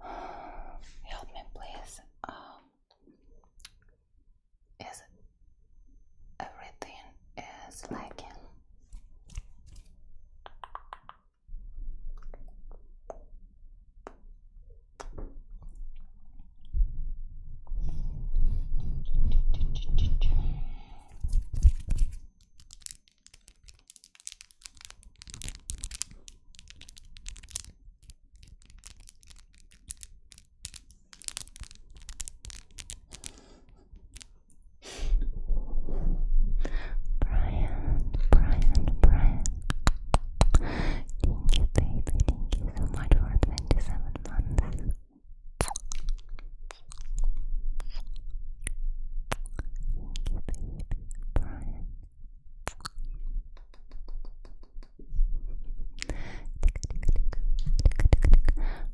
Help me, please. Um, is everything is lacking? Brian, Brian, Brian. Thank you, Thank you so much for 27 months. Thank you,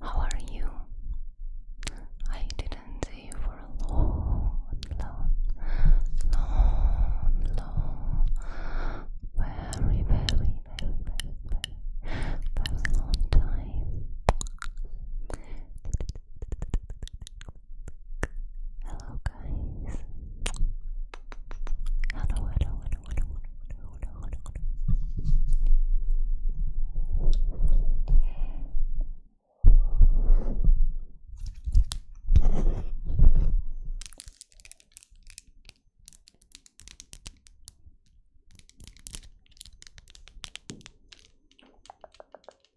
How are you? I didn't see you for a long, long, long, very, very, very, very long time. Hello, guys. Hello, hello, hello, hello, hello, hello, hello, hello. Yeah.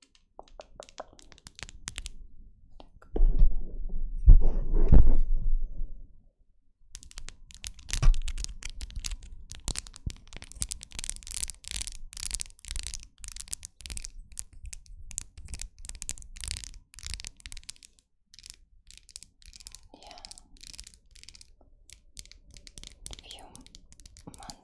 A few months Hi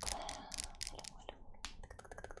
Claire. Hello, hello.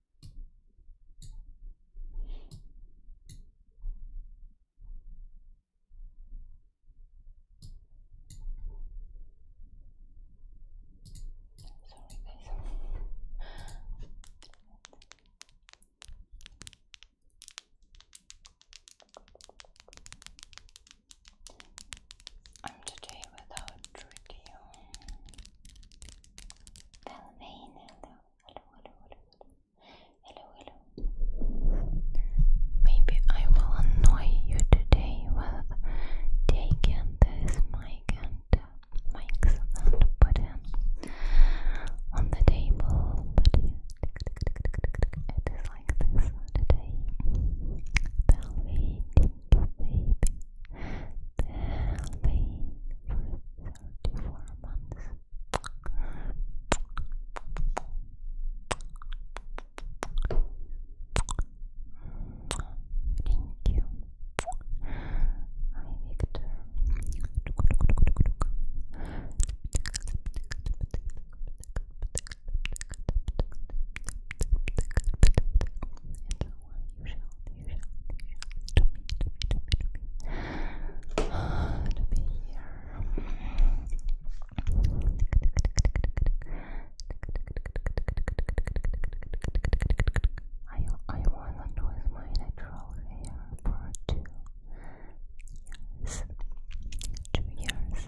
Sorry, guys. I'm today without radio. Belvane, Maybe I will annoy you today with taking this mic and uh, mics and put on the table, but it is like this today. Belly, baby. Belly, Thank you. Hi, Victor. to to be I, I want to use my natural hair for two years.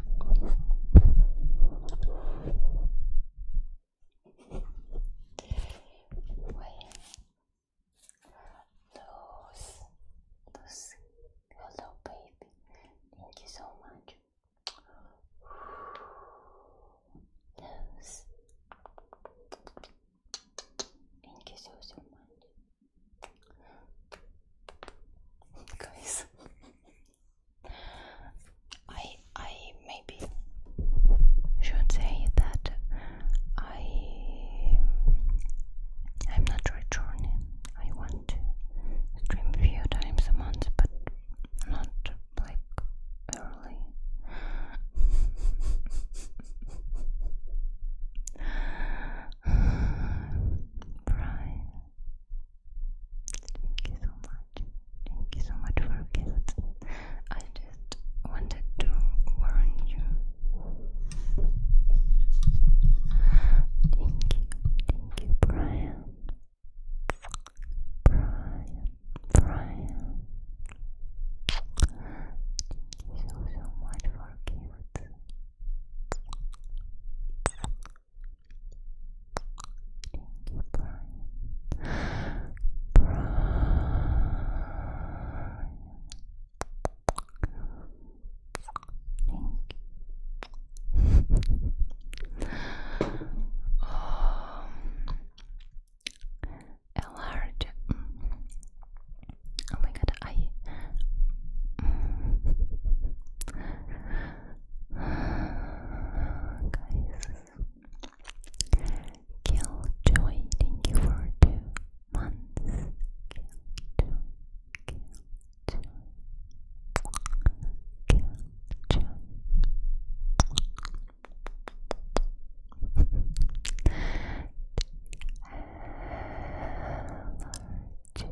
Well, Luz, hello baby, thank you so much. Luz, thank you so so much guys. I I maybe should say that I I'm not returning. I want to stream a few times a month, but not like early. Brian, Thank you so much. Thank you so much for gifts. I just wanted to warn you. Thank you, thank you, Brian. Brian, Brian. Thank you so so much for gifts you, Thank you. Um, mm. Oh my god, I. Mm. Guys, kill joy. Thank you for two months. Kill joy. Kill joy. Kill joy.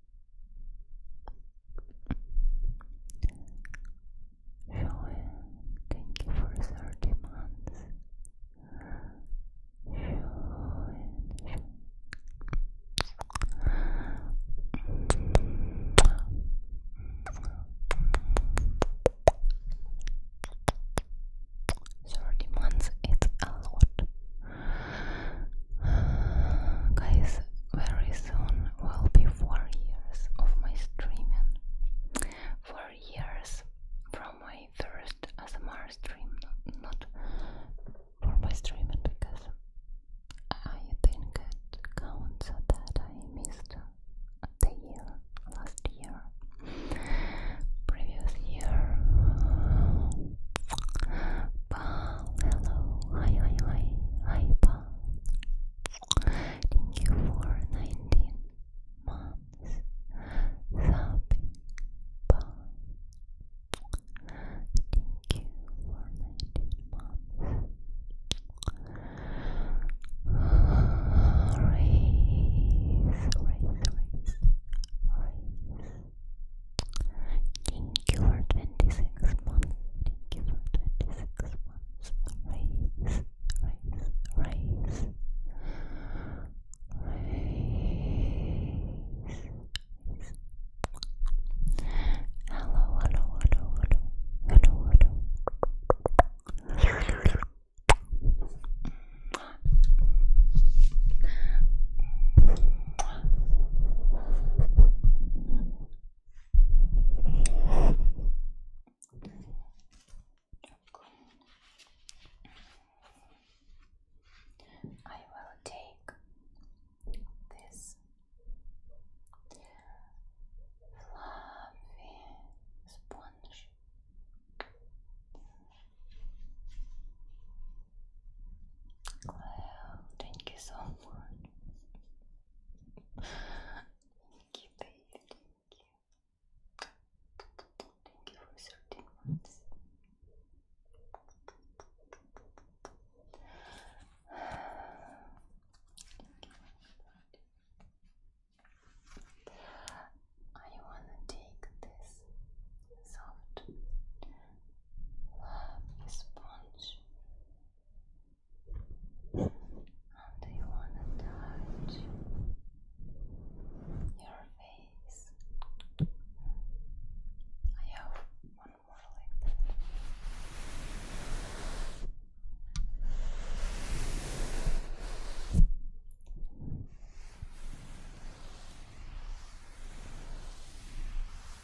Showing, thank you for 30 months. Thirty months it's a lot. Guys, very soon will be four years of my streaming. Four years from my first ASMR stream, not for my streaming because I think it counts that I missed the year last year, previous year, Paul. Hello. Hi, hi, hi. Hi, Paul. Thank you for 19 months. Happy Paul. Thank you for 19 months. Raise, raise, raise, raise. Thank you 26 months. Thank 26 months. Raise, raise, raise. Raise, raise. Hello, hello, hello, hello. Hello, I will take this fluffy sponge. Claire, thank you so much. Thank you, babe. Thank you. Thank you for 13 months. I wanna take this soft sponge and do you want to touch your face? I have one more like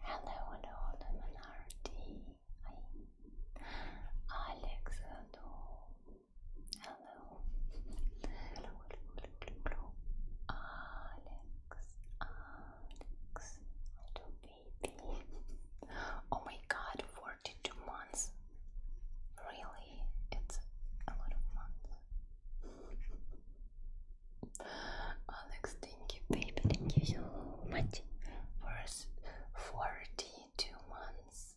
Hello and all the minority. Alex, hello. Hello. Hello, hello, hello, hello. Alex, Alex, little baby. oh my god, 42 months. Really? Really, it's a lot of months. Alex, thank you, baby. Thank you so much for 42 months.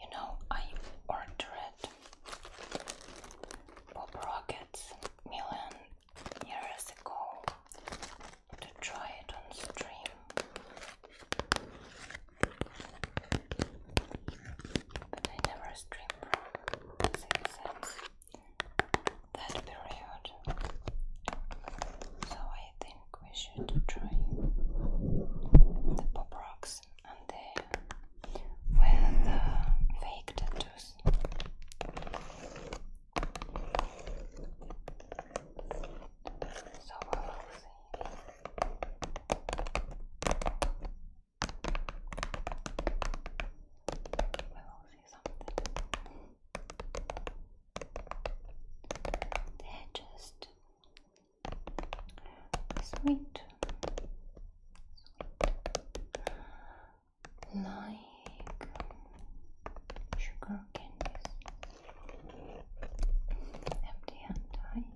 You know, I ordered Bob Rockets million years ago to try it on stream. But I never streamed from that period. So I think we should try the Pop Rocks tooth and there were the fake tattoos. So we will see. We will see something. they just sweet, like sugar candies, empty and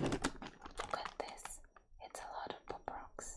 Look at this, it's a lot of pop rocks.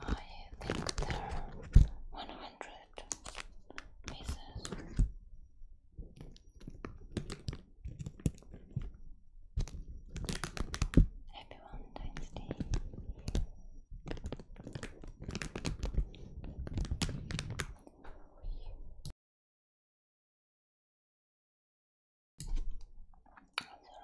I think there are 100 pieces. Happy Valentine's Day. Sorry,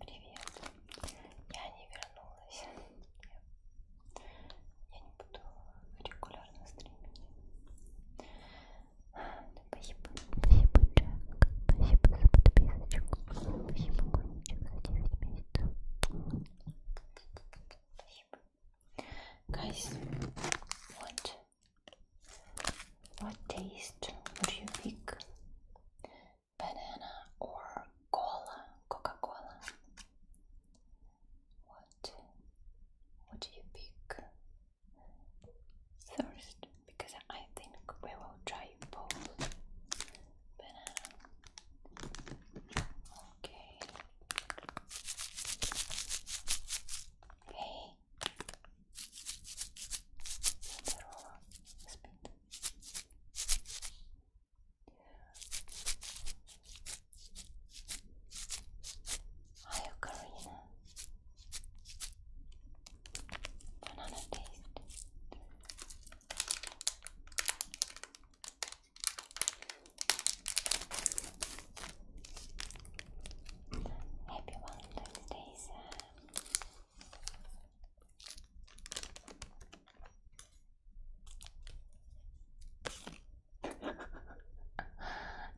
Привет. Я не вернулась. Я не буду регулярно стримить. Спасибо, спасибо, Джек. Спасибо за подписочку. Спасибо, Конечек, за 9 месяцев. Спасибо. Guys, what what taste would you pick? Banana or cola? Coca-Cola? What what do you pick? First, because I think we will try both banana. Okay. Hey, здорово, спит. Hi, Karina. Banana taste. Happy Valentine's Day, Sam.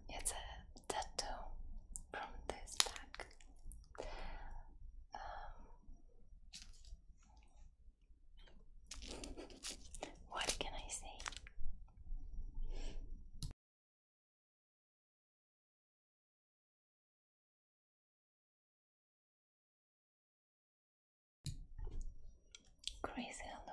it's a tattoo from this pack. Um, what can I say? Crazy hello.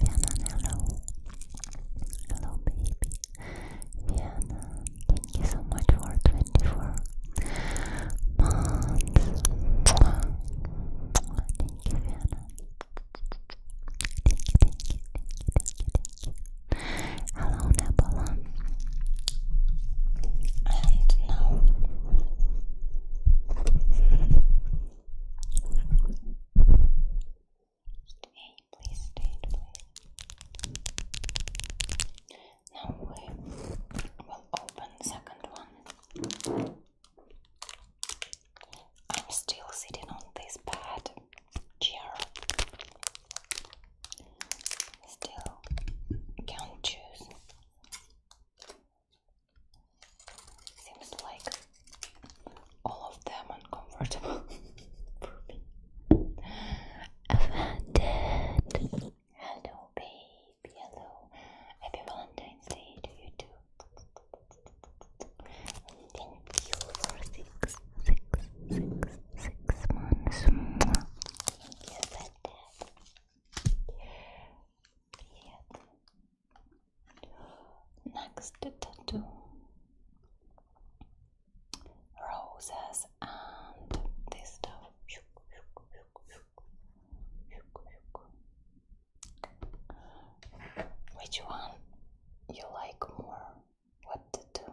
Rhiannon, hello. Hello, baby. Rhiannon, thank you so much for 24 months. Thank you, Rhiannon. Thank you, thank you, thank you, thank you, thank you. Hello, Napoleon. And now stay, please stay, please. Now we will open second one. I'm still sitting on this bed chair. Still can't choose Seems like all of them uncomfortable for me. Offended. Hello, baby. Hello. Happy Valentine's Day to you too. Thank you for six, six, six, six months. Thank you for Period. Next tattoo. Roses and this stuff. Which one you like more? What to do?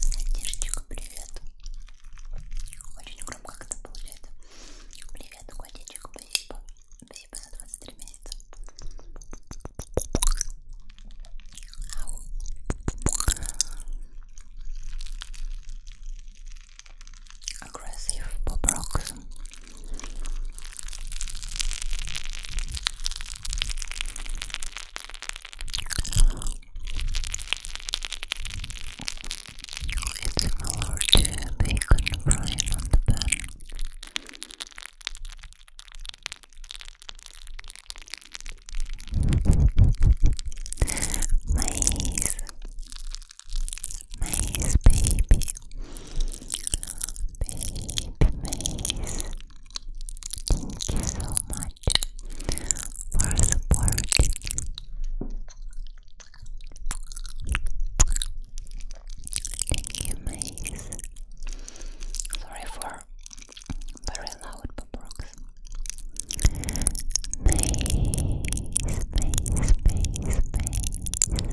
Сантишечка, привет. Очень громко как-то получается. Привет, котичек, спасибо. Спасибо за 23 месяца. Ау. Aggressive Bob Rocks. It's similar to bacon frying on the pan. Maze, maze, baby, baby, maze. Thank you so much for support. Thank you, Maze. Sorry for very loud box. Maze, maze, maze, maze.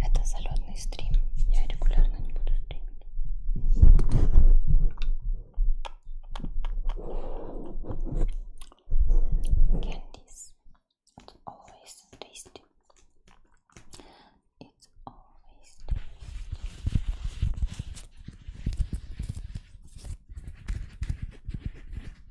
Это залетный стрим. Я регулярно не буду стримить. Candies. It's always tasty. It's always tasty.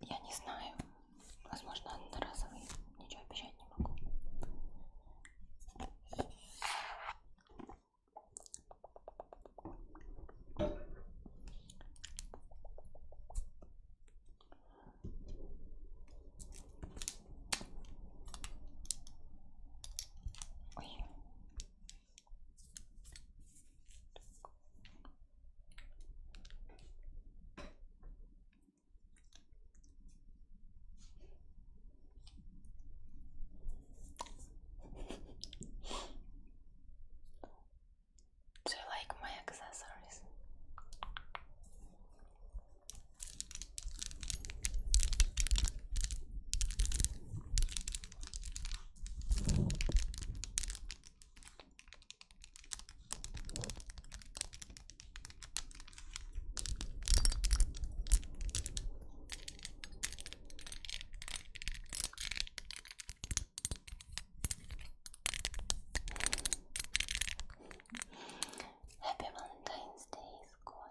Я не знаю. Возможно, одноразовый. Ничего обещать не могу. Ой. Do you like my accessories? Happy Valentine's Day, squad.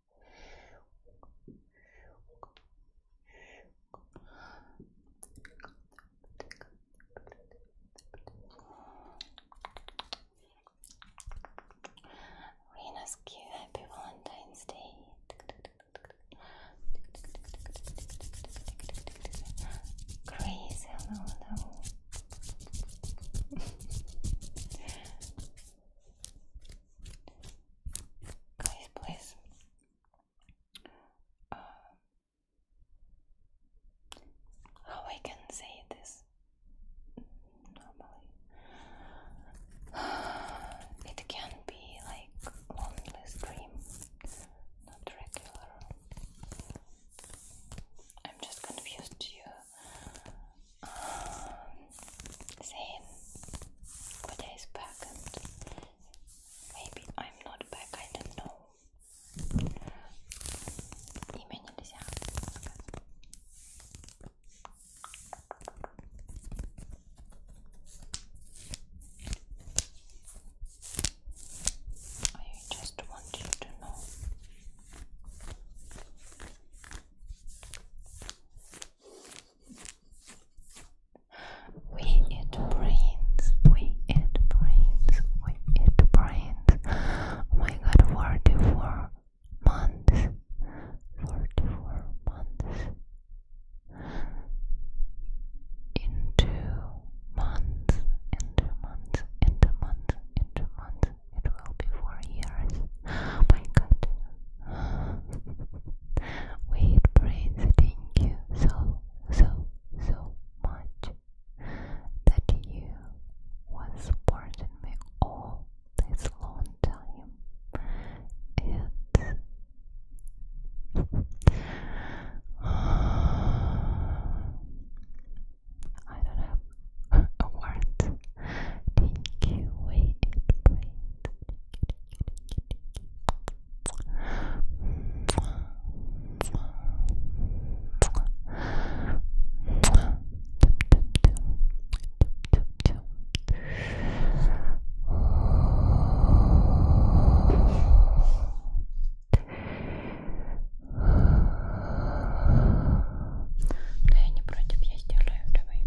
Rena's you, Happy Valentine's Day. Crazy, no, Please, please. Um, how I can say this normally? it can be like lonely stream, not regular. I'm just confused. You same Koda is back and maybe I'm not back, I don't know Имя нельзя I just want you to know we eat brains, we eat brains, we eat brains. Oh my god, 44 months. 44 months. In two months, in two months, in two months, in two months, it will be four years. Oh my god. Weird brains thank you so, so, so much that you was supporting me all this long time. It I don't have a word. Thank you, wait, it, Да я не против, я сделаю, давай.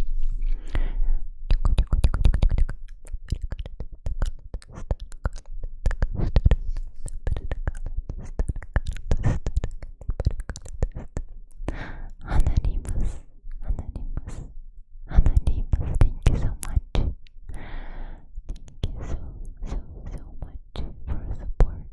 Anonymous, Anonymous, Anonymous, thank you so much. Thank you so, so, so much for support.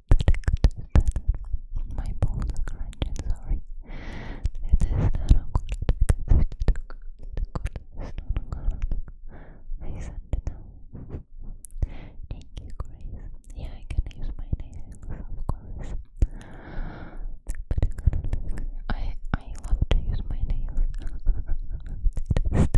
My balls are crunching, sorry. It is I said it Thank you, Grace. Yeah, I can use my nails, I I love to use my nails.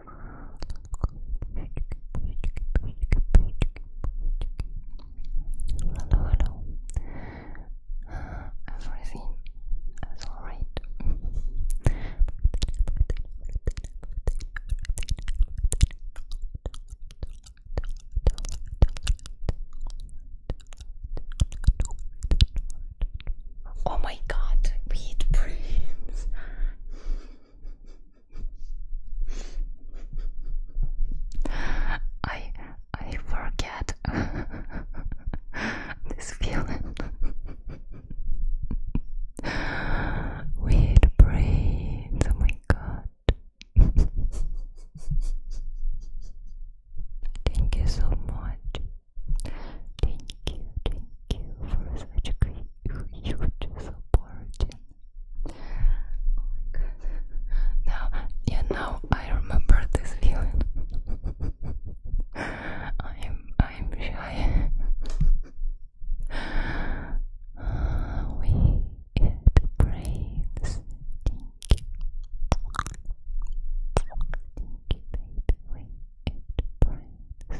Hello, hello. everything is alright. Oh my god, beat brains. I I forget this feeling. Weird breathe, oh my god. Thank you so much. Thank you, thank you for such a huge support. Oh my Now, yeah, now I remember this feeling. I'm, I'm shy. we eat brains. We eat brains.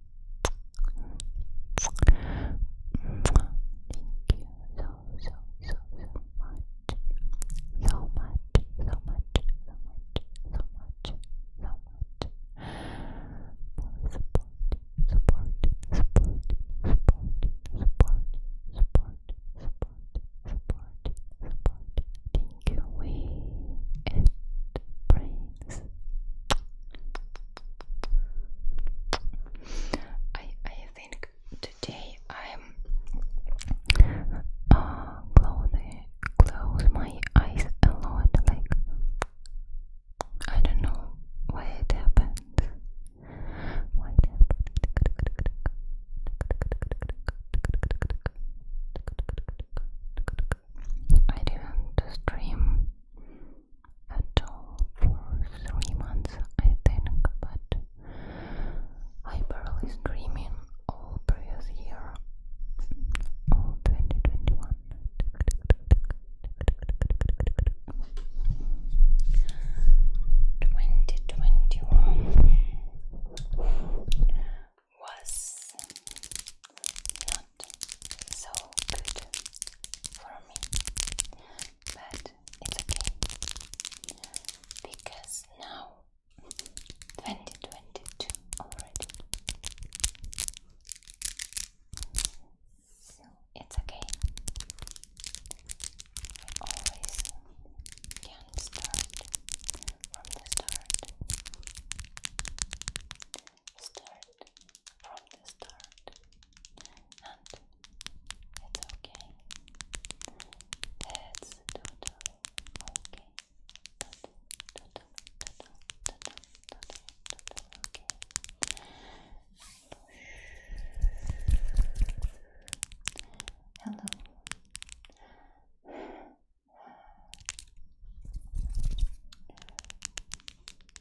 so, so, so much. So much, so much, so much, so much, so much. For support, support, support, support, support, support, support, support, support. Think away it brings. I I think today I'm uh close my eyes a lot like I don't know why it happened. Why it happened? I didn't stream at all for three months, I think, but I barely streaming all previous year, all 2021. Twenty twenty one was so good for me, but it's okay because now 2022 already. So it's okay. always can start from the start. Start from the start, and it's okay. It's totally okay. Totally, totally, totally, totally, totally, okay. Hello.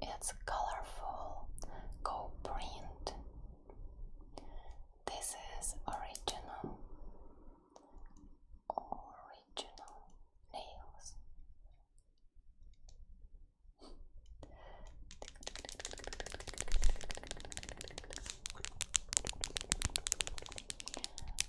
It's colorful go print. This is original. Original nails.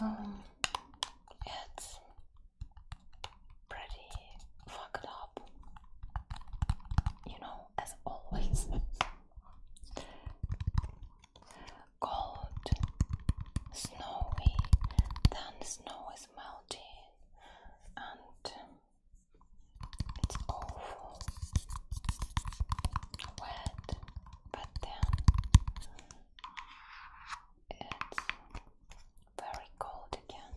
Um, it's pretty fucked up, you know, as always cold, snowy, then snow is melting and it's awful, wet, but then it's very cold again.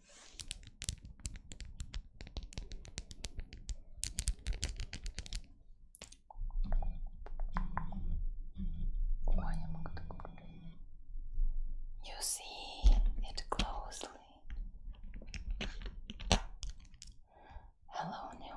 You see it closely. Hello, Neon.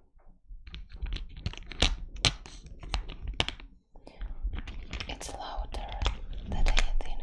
It's louder than I think.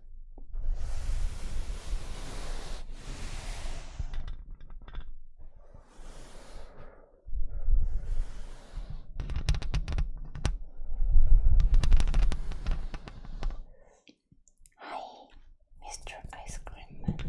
Hi, Mr. Ice Cream Man.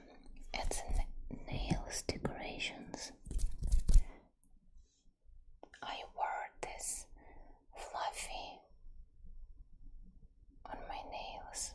It's nails decorations. I wore this fluffy on my nails.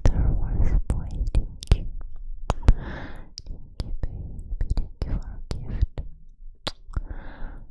Star Wars boy, thank you. you, baby. Thank a gift.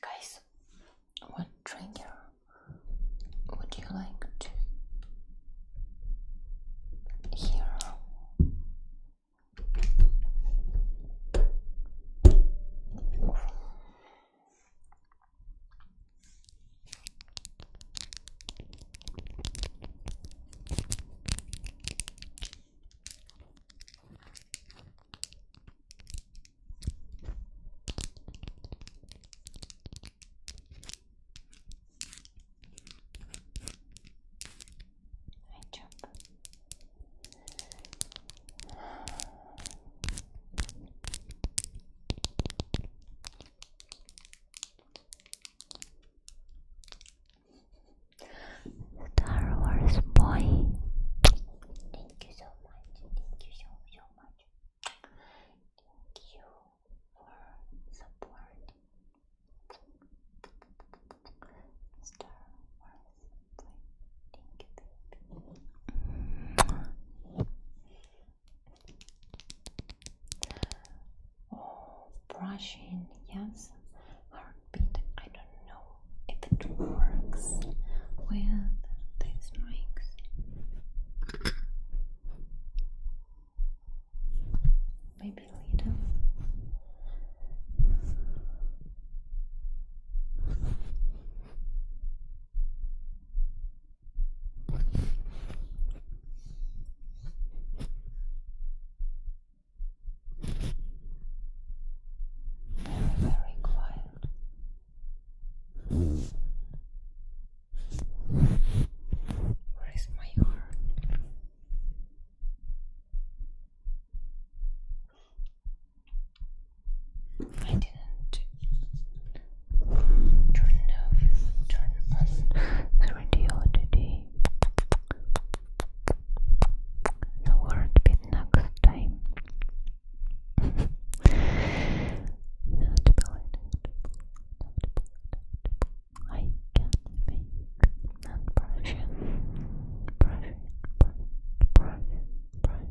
Guys, what trigger would you like to hear? I jump. Star Wars boy. Thank you so much. Thank you so much. Thank you for support. Star Wars Thank you, Oh, brushing, yes. Heartbeat, I don't know if it works with these mics. Maybe later. They're very quiet. Where is my heart? I didn't turn off, turn on the radio today. The word bit next time. not believable, I can make non-Prussian, Prussian, Prussian, Prussian,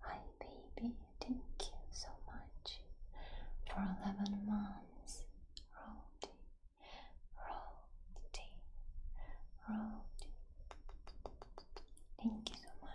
Hi, baby. Thank you so much for 11 months. Roll Roll Roll Thank you so much.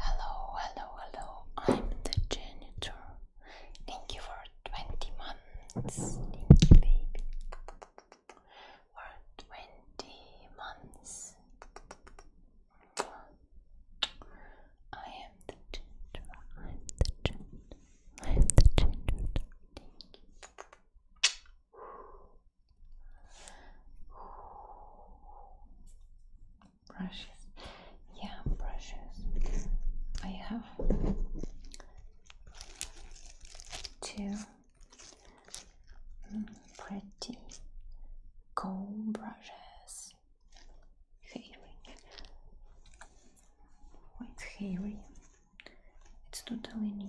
Hello, hello, hello. I'm the janitor. Thank you for 20 months. Thank you, baby. For 20 months. I am the janitor. I'm the janitor. I have to change it. Brushes. Yeah, brushes. I have two mm, pretty cool brushes. Hairy. Quite hairy. It's totally new.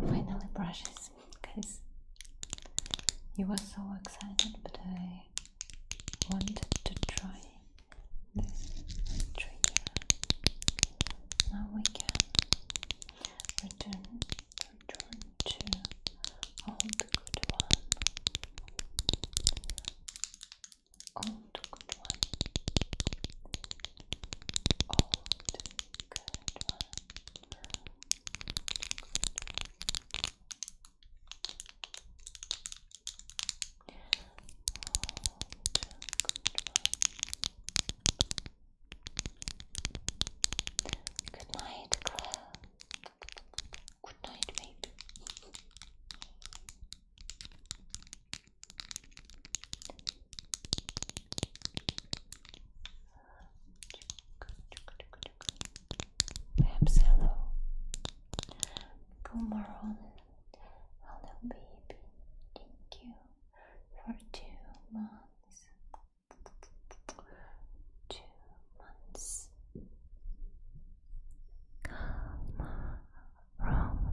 Finally, brushes, guys. You were so excited, but I wanted to try this trigger. Now we can return, return to old good one. Old good one. Old good one. Good night, girl. Good night, baby. Perhaps hello. Good morning. Hello baby. Thank you for two months. Two months. Come from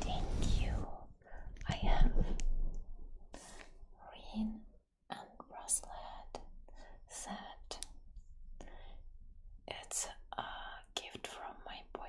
Thank you. I am Rin and Roslet said it's a uh, a gift from my boyfriend.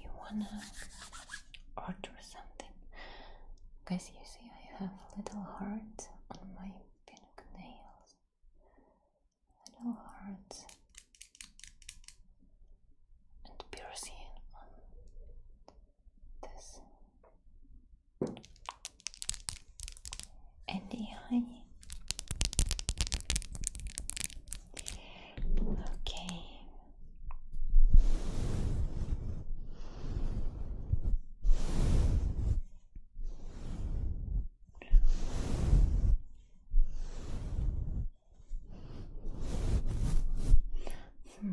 You wanna order something? Guys, you see, I have little hearts on my pink nails. Little hearts and piercing on this and the Okay. Hmm.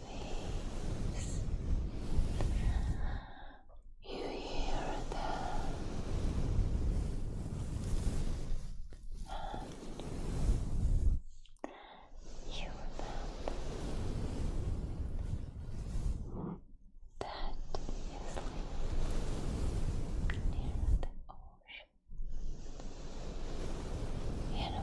waves. You hear them you remember that you near the ocean in a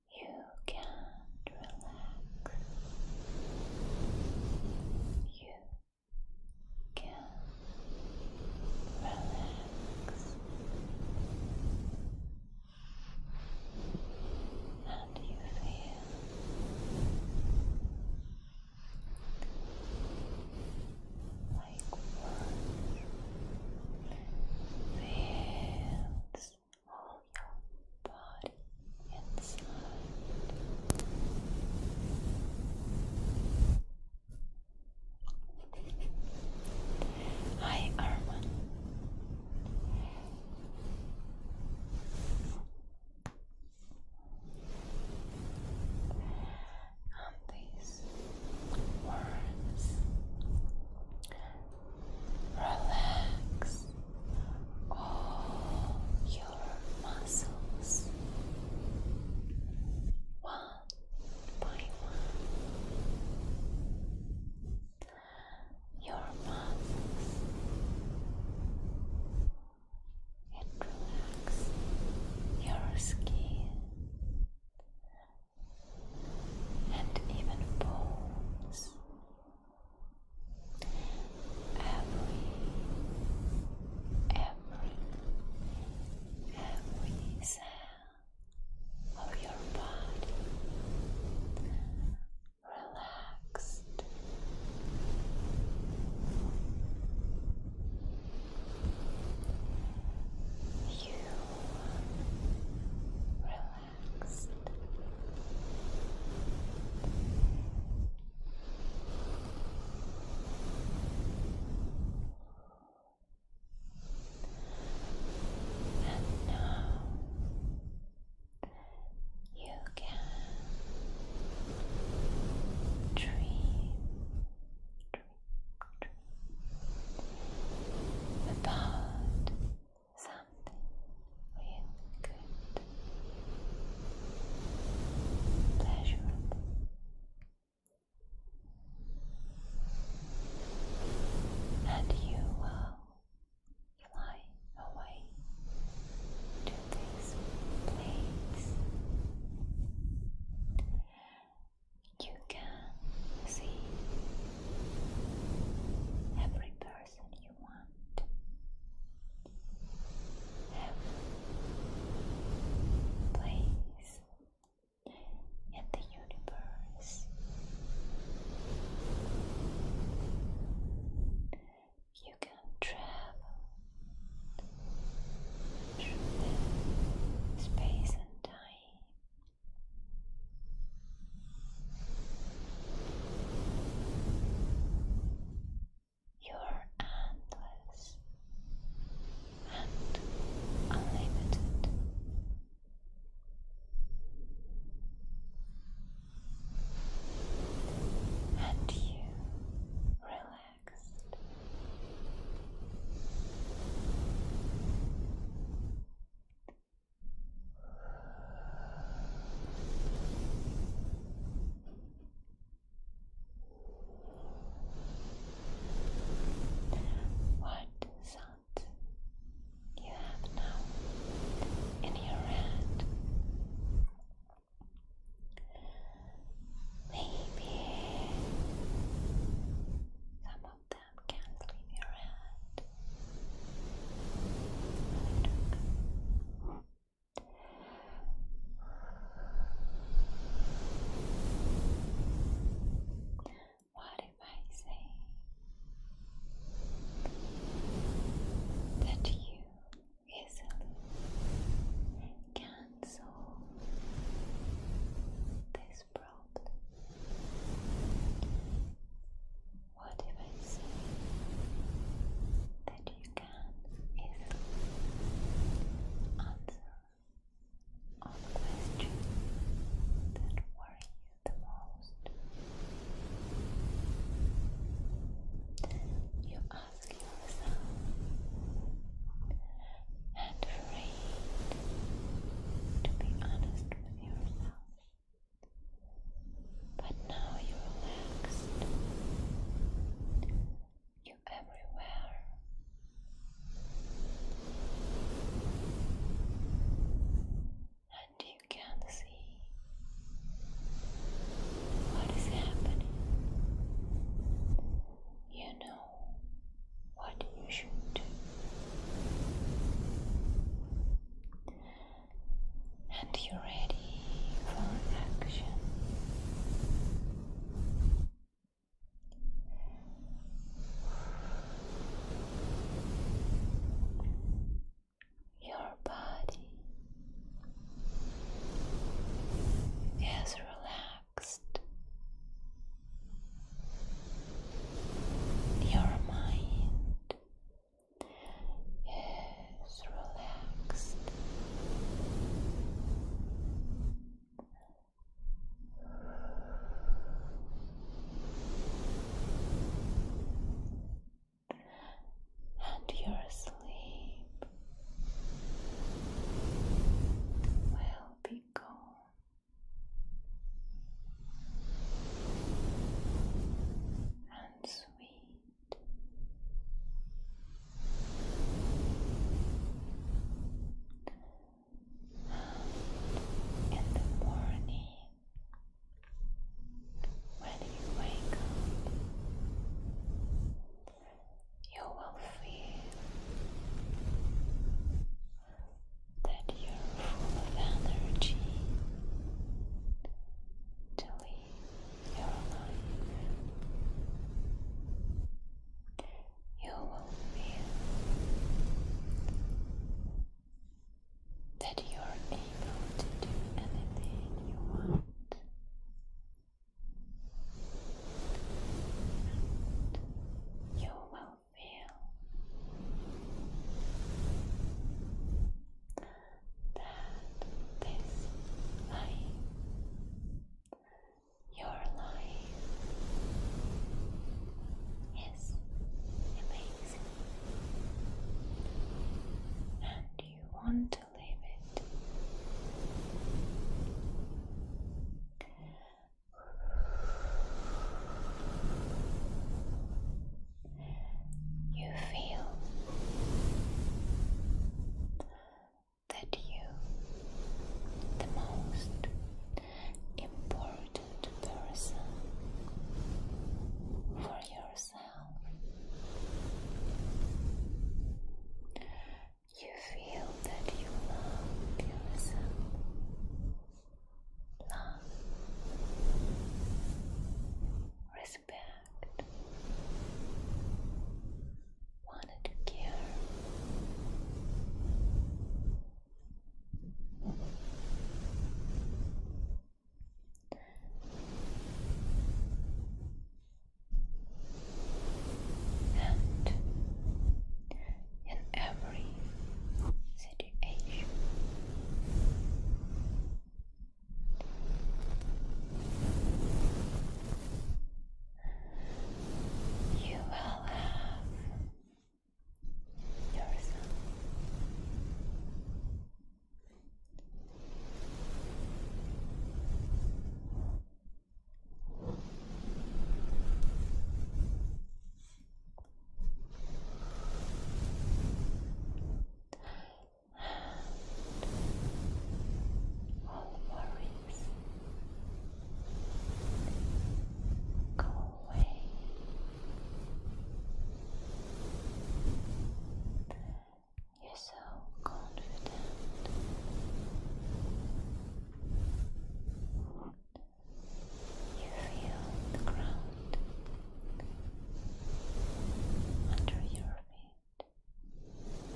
You can relax. You can relax. And you feel like one feels inside. Hi, Arman. these words Relax all your muscles one by one. Your muscles and relax your skin and even bones. Every, every, every cell of your body relaxed. You relax relaxed. And now you can dream about something real good, pleasurable. And you will fly away to this place. You can see every person you want. place in the universe. You can travel through space and time. You're endless and unlimited. And you relaxed. What sound you have now in your hand? Maybe some of them can leave your hand. What if I say that you easily can solve this problem? What if I say that you can easily answer all the questions that worry you the most? You ask yourself and afraid to be honest with yourself. But now you're relaxed. You're everywhere. And you can see what is happening. You know what you should do and you're ready for action. Your body is relaxed. Your mind is relaxed. And your sleep will be calm. And sweet. And in the morning, when you wake up, you will feel that you're full of energy to live you're alive. You will feel that you're able to do anything you want. you will feel that this life, your life, is amazing and you want to live it. You you feel that you, the most important person for yourself, you feel that you love yourself. Love, respect, wanted to care. And in every situation, you will have yourself all worries go away. You're so confident. You feel the ground under your feet and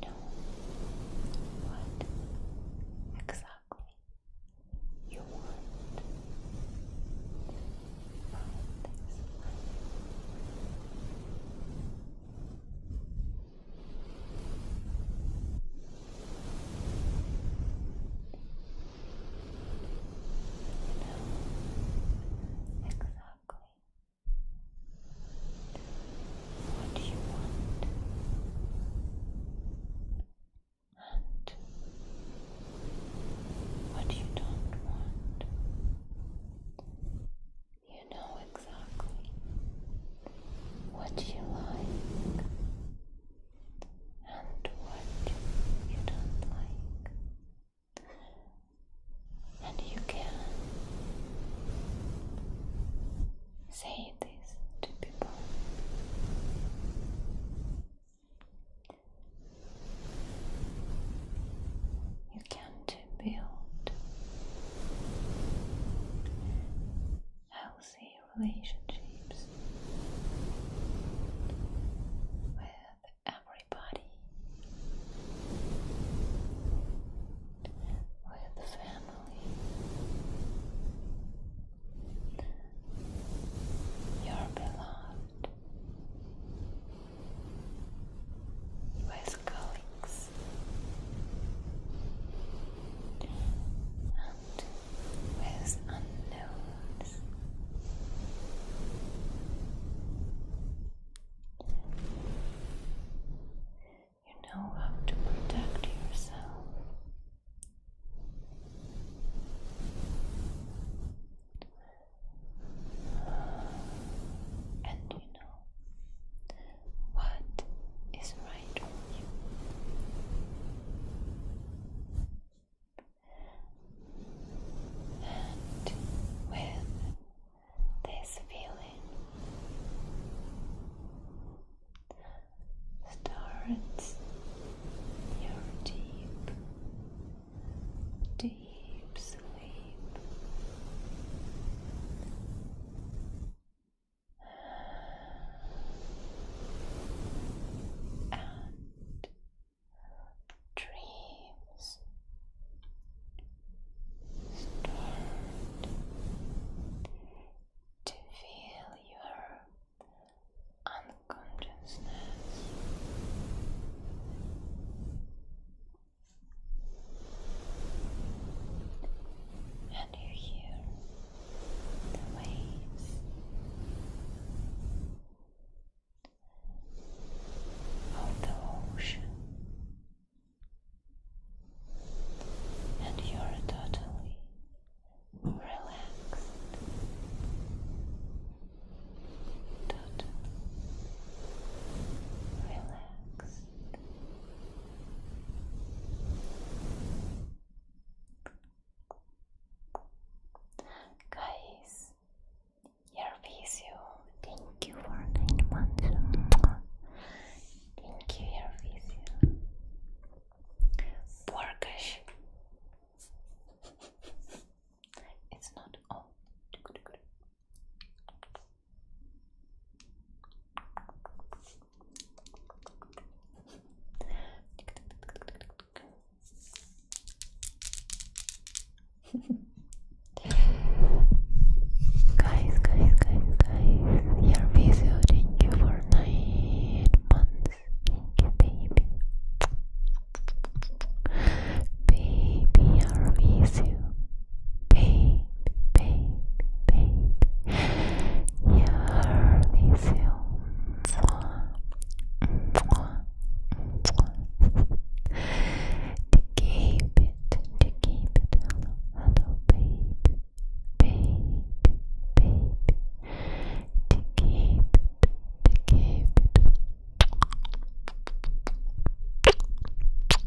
you know what exactly you want from this know exactly what you want and what you don't want. You know exactly what you like and what you don't like. And you can say this to people. You can to build healthy relationships with everybody, with the family, your beloved. With colleagues, and with unknowns. You know how to protect yourself. And you know what is right for you. And with this feeling, starts your deep, deep sleep and dreams start to feel your unconsciousness and you hear the waves of the ocean, and you are totally relaxed. Totally relaxed. Guys, your video. Thank you for nine months. Thank you, your video. Porkish. It's not all guys, guys, guys, guys, your video, thank you for nine months. Thank baby. Baby, our video pain, pain, pain. Here is you. To keep it, to keep it. Hello, hello, babe, babe, babe. To keep it, to keep it.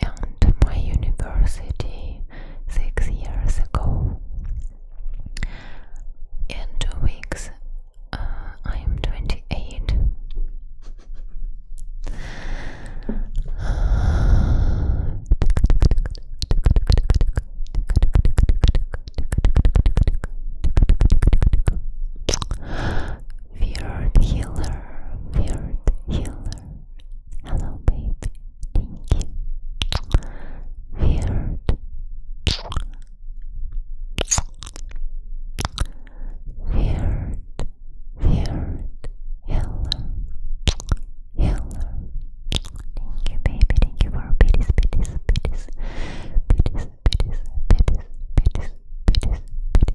and my university six years ago. In two weeks, uh, I am 28. Weird healer, weird healer. Hello, baby. Pinky. Weird. Weird. Weird. Yellow. Yellow. Thank you, baby. Thank you for pitties, pitties, pitties. Pitties, pitties, pitties, pitties,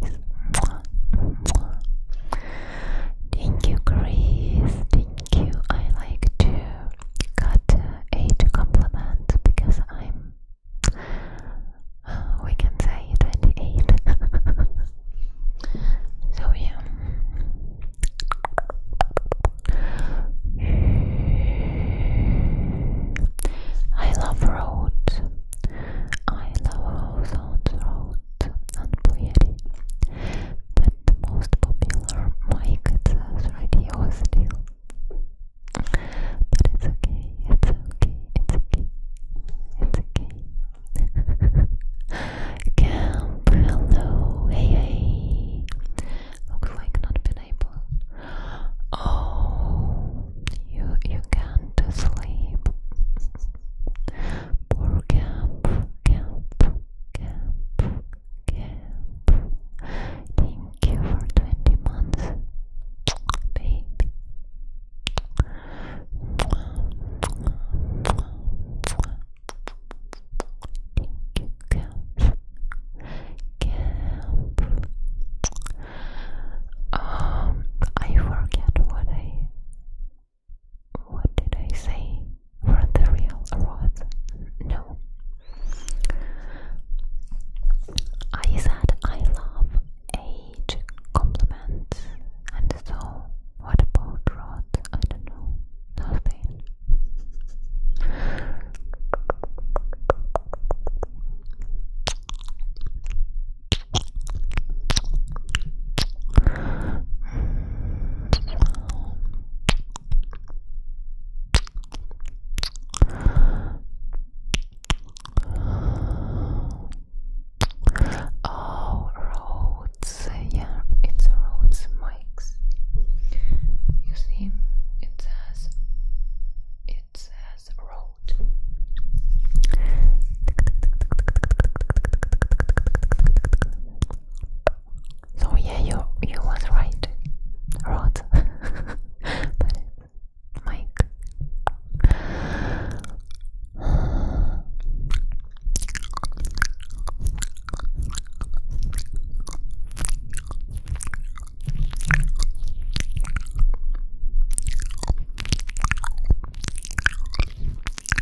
pitties, pitties. Thank you, Grace. Thank you. I like to cut a compliment because I'm. we can say 28. so yeah. I love road. I love how sounds road and poetry the most popular mic, it says radio still. But it's okay, it's okay, it's okay, it's okay. Camp, hello, hey, hey. Looks like not been able. Oh, you you can't sleep. Por camp, camp, camp, camp. Thank you for 20 months, baby. Thank you, camp. Camp. Um, I forget what I what did I say? For the real rod? No. I said I love age compliments, and so what about rod? I don't know. Nothing. Oh, Rhodes, yeah, it's a Rhodes mics. You see, it says it says road. So yeah, you you was right, Rod. Mike.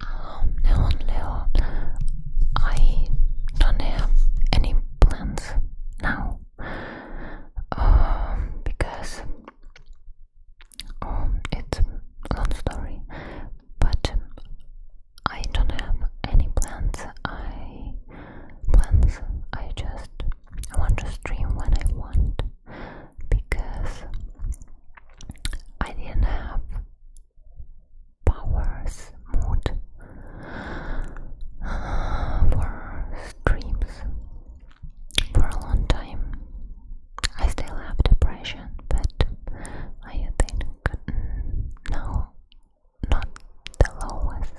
Um, Leo Leo, I don't have any plans now um, because um, it's a long story, but I don't have any plans. I plans. I just I want to stream when I want because I didn't have powers mood for streams for a long time. I still have depression, but I think mm, no, not the lowest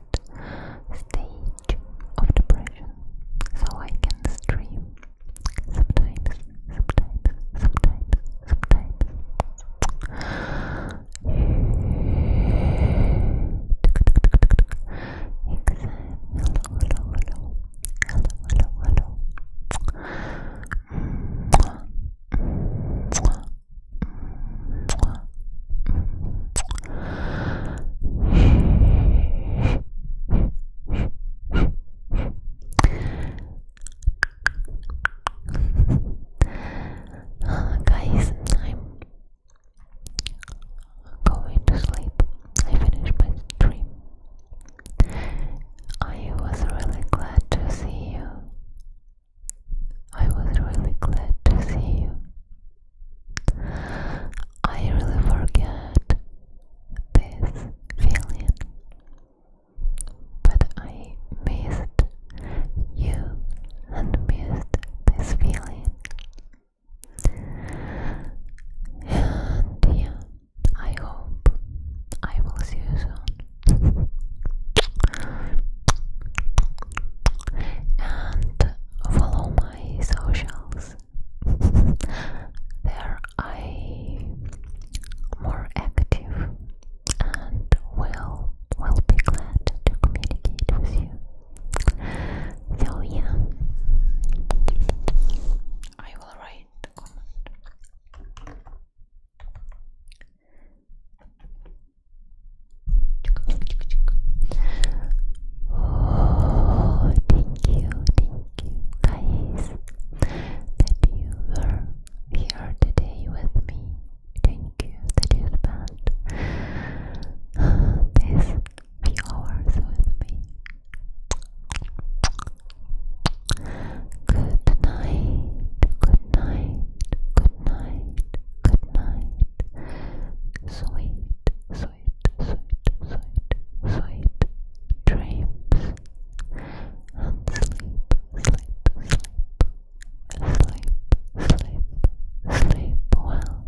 stage of depression, so I can stream sometimes, sometimes, sometimes, sometimes. Exam. Hello, hello, hello. Hello, hello, hello guys, I'm going to sleep. I finished my stream. I was really glad to see you. I was really glad to see you. I really forget this feeling, but I missed you and missed this feeling. And yeah, I hope I will see you soon. and follow my my socials. there I more active and will will be glad to communicate with you. So yeah, I will write Oh, thank you, thank you guys that you were here today with me. Thank you that you spent these few hours with me. Good night, good night, good night, good night. Sweet, sweet sweet, sweet, sweet, sweet dreams. sleep, sleep, sleep, sleep, sleep, sleep well.